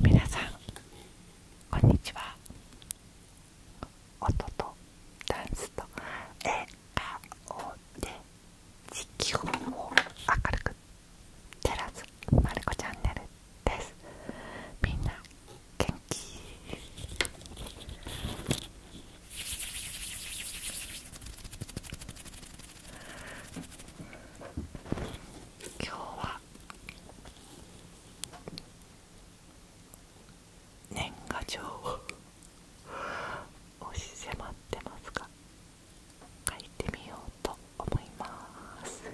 皆さんこんにちは音とダンスと笑顔で地球を明るく照らすまるこチャンネルですみんな元気今日は年賀状を押し迫ってますが書いてみようと思います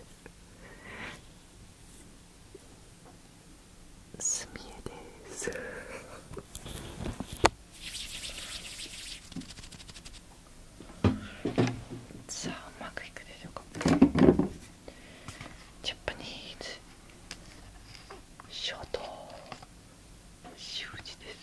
すみえですさあうまくいくでしょうかジャパニーズショート習字です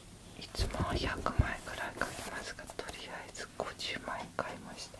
いつもは100枚くらい買いますがとりあえず50枚買いました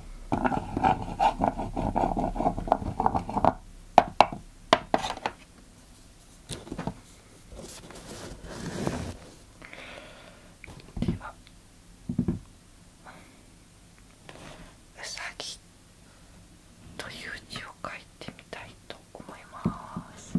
ではうさぎという字を書いてみたいと思います。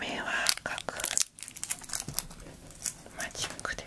目は赤くマジックで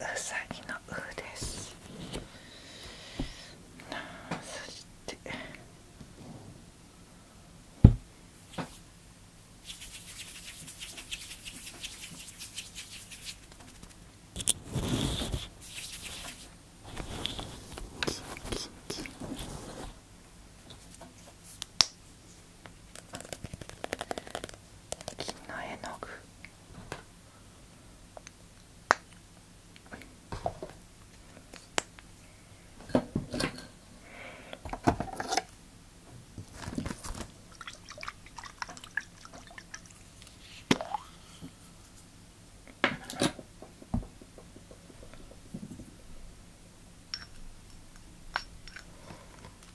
ウサギの「ウですそしてキンキン金の絵の具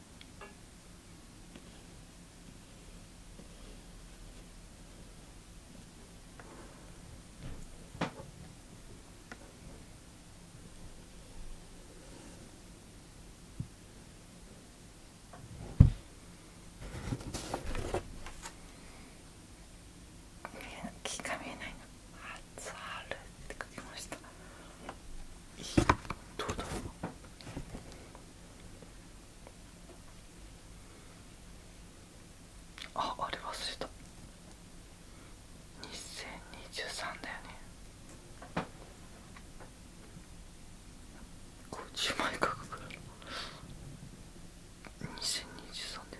見えない気が見えないな。あつあるって書ましたどうだああれ忘れた2023だよね50枚書くから2023で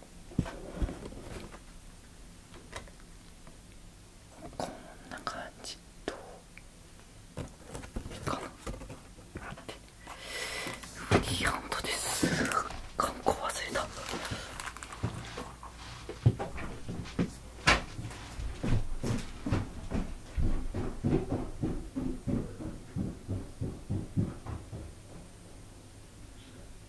こんな感じといいかなってフリーハンドです観光忘れたこ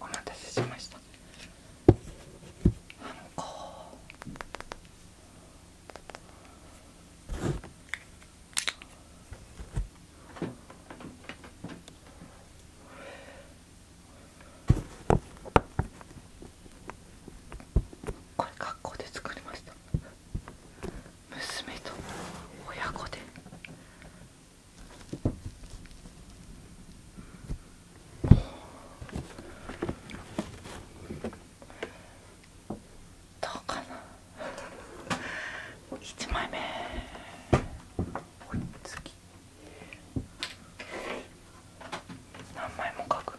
お待たせしましたあのここれ学校で作りました娘と親子でどうかな一枚目次何枚も書く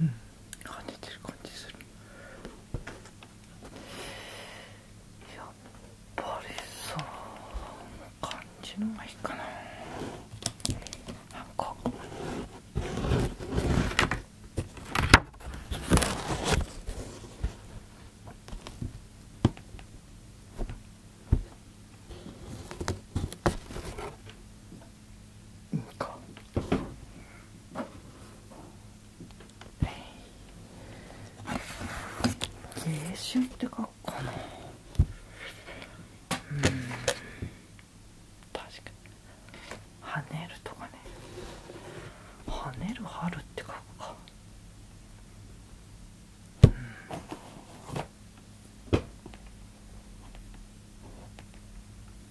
うん跳ねてる感じするやっぱりその感じのがいいかななんかいいか青春って書くかなうん確かに跳ねるとかね跳ねる春って書くかうん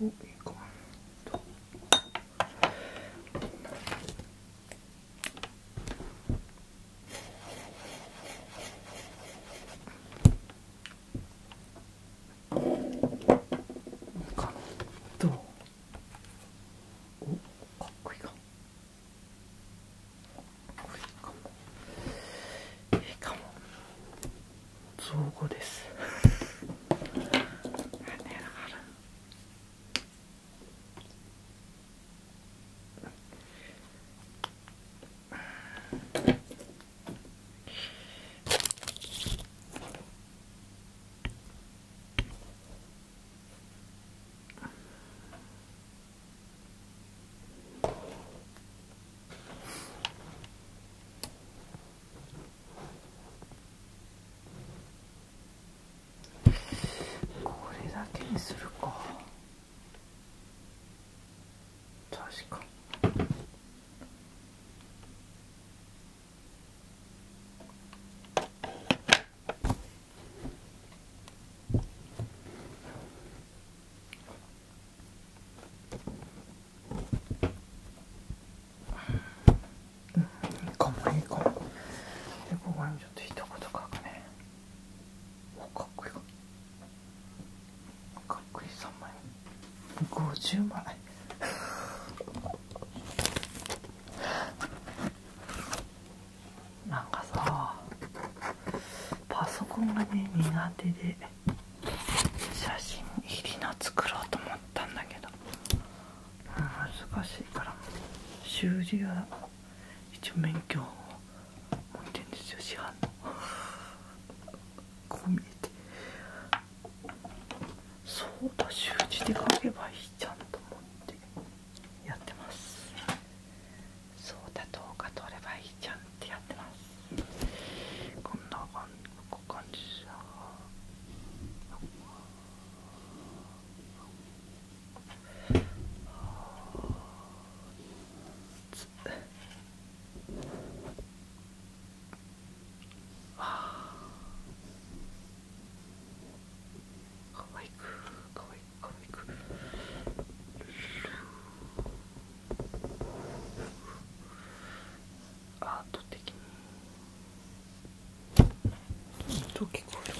おいいかどうおかっこいいか。いいかも造語ですこれだけにするか確か。うん、いいかもいいかもでここにちょっと一言書くねおかっこいいかっこいい3枚50枚なんかさパソコンがね苦手で写真入りの作ろうと思ったんだけど、うん、難しいから習字は一応免許を持ってるんですよ市販の こう見えてそうだ習字で書けばいいじゃんと思ってやってますそうだうか撮ればいいじゃんってやってますこんな感じああ。かわいくかわいく。アート的に音聞こえる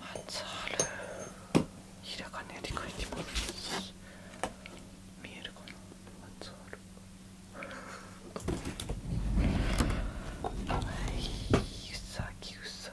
初春ひらがねで書いてます見えるかな初春はい、うさぎうさ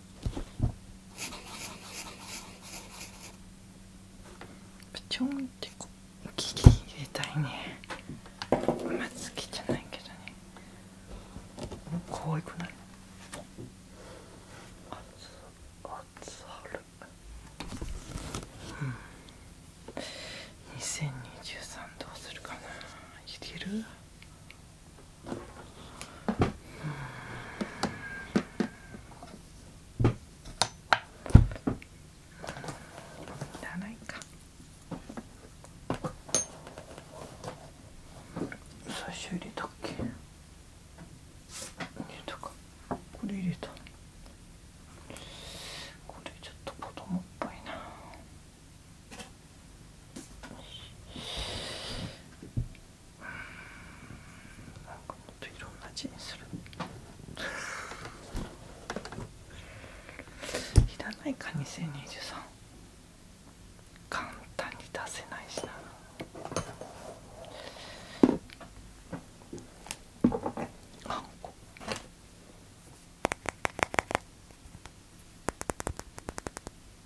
ちょんってこうギリ入れたいねまつきじゃないけどね可いくないあつあつあるうん2023どうするかな入れるうんダライか最初入れたっけ入れたかこれ入れたこれちょっと子どもっぽいなよしなんかもっといろんな字にするいらないか2023簡単に出せないしなあんこ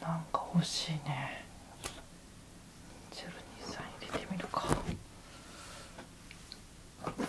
なんか欲しいね023入れてみるかうん。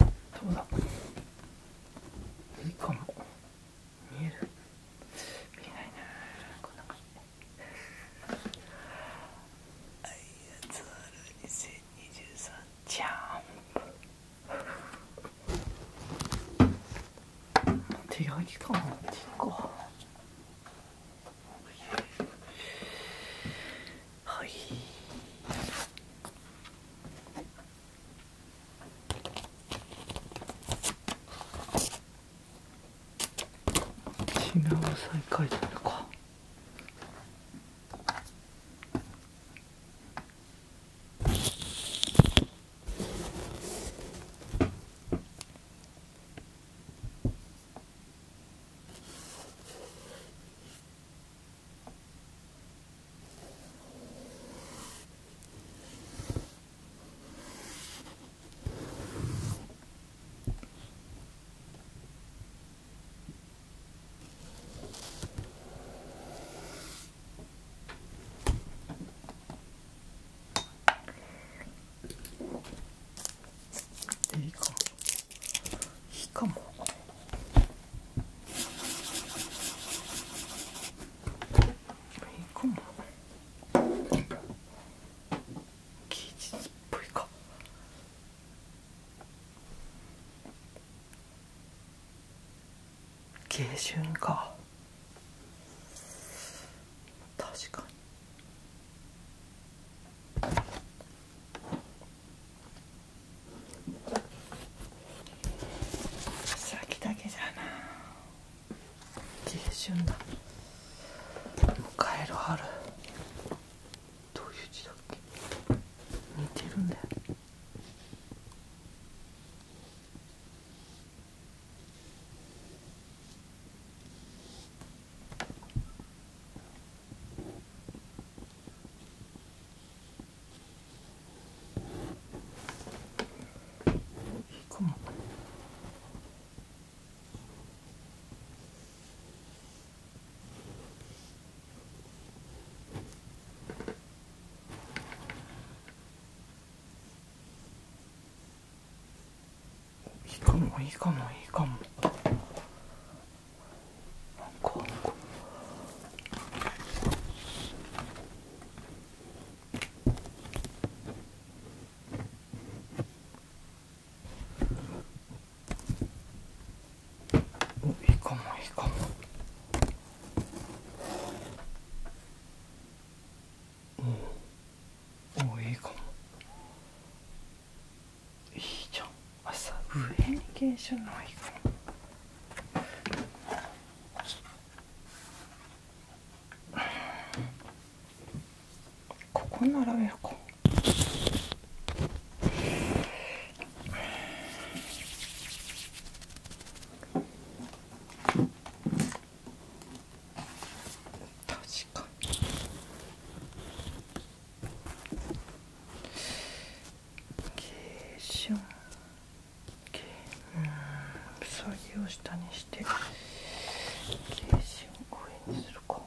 どうだいいかも見える見えないなこんな感じあいやつある。ール2023ジャンプ手焼きかも。っていうはい品を再開するか。いいかいいかもいいかも芸術っぽいか下旬か確かに先だけじゃな下旬だもう帰る春どういう字だっけ似てるんだよいいかもいいかもいいかもかおいいかもいいかもうんおいいかもいいじゃん朝上に原書ないかなここ並べるうか確かに軽症うんそぎを下にして軽視を上にするか。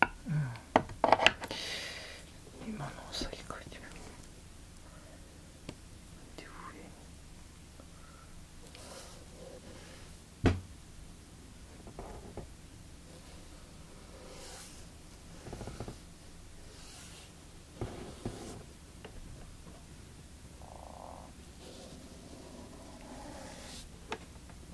う今のういてみよ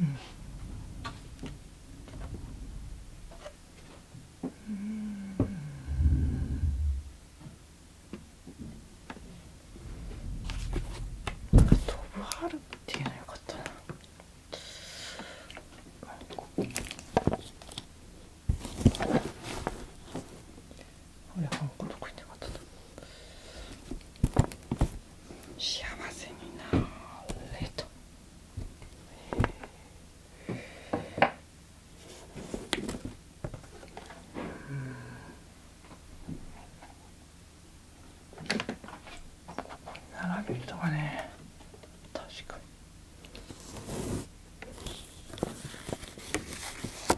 うんううん。んぶはははるっっっってていい、のよか、かたた。なな。ここ。ど幸せになれと並べるとかね確か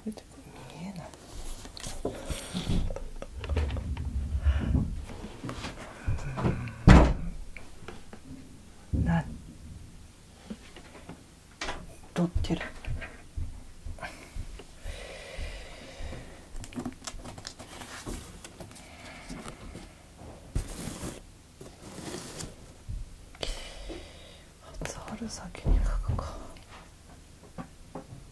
に見えないな撮ってる初春先に書くか。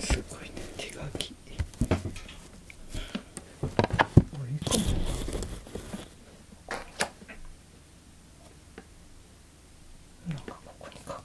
すごいね手書きあいいかもなんかここに書く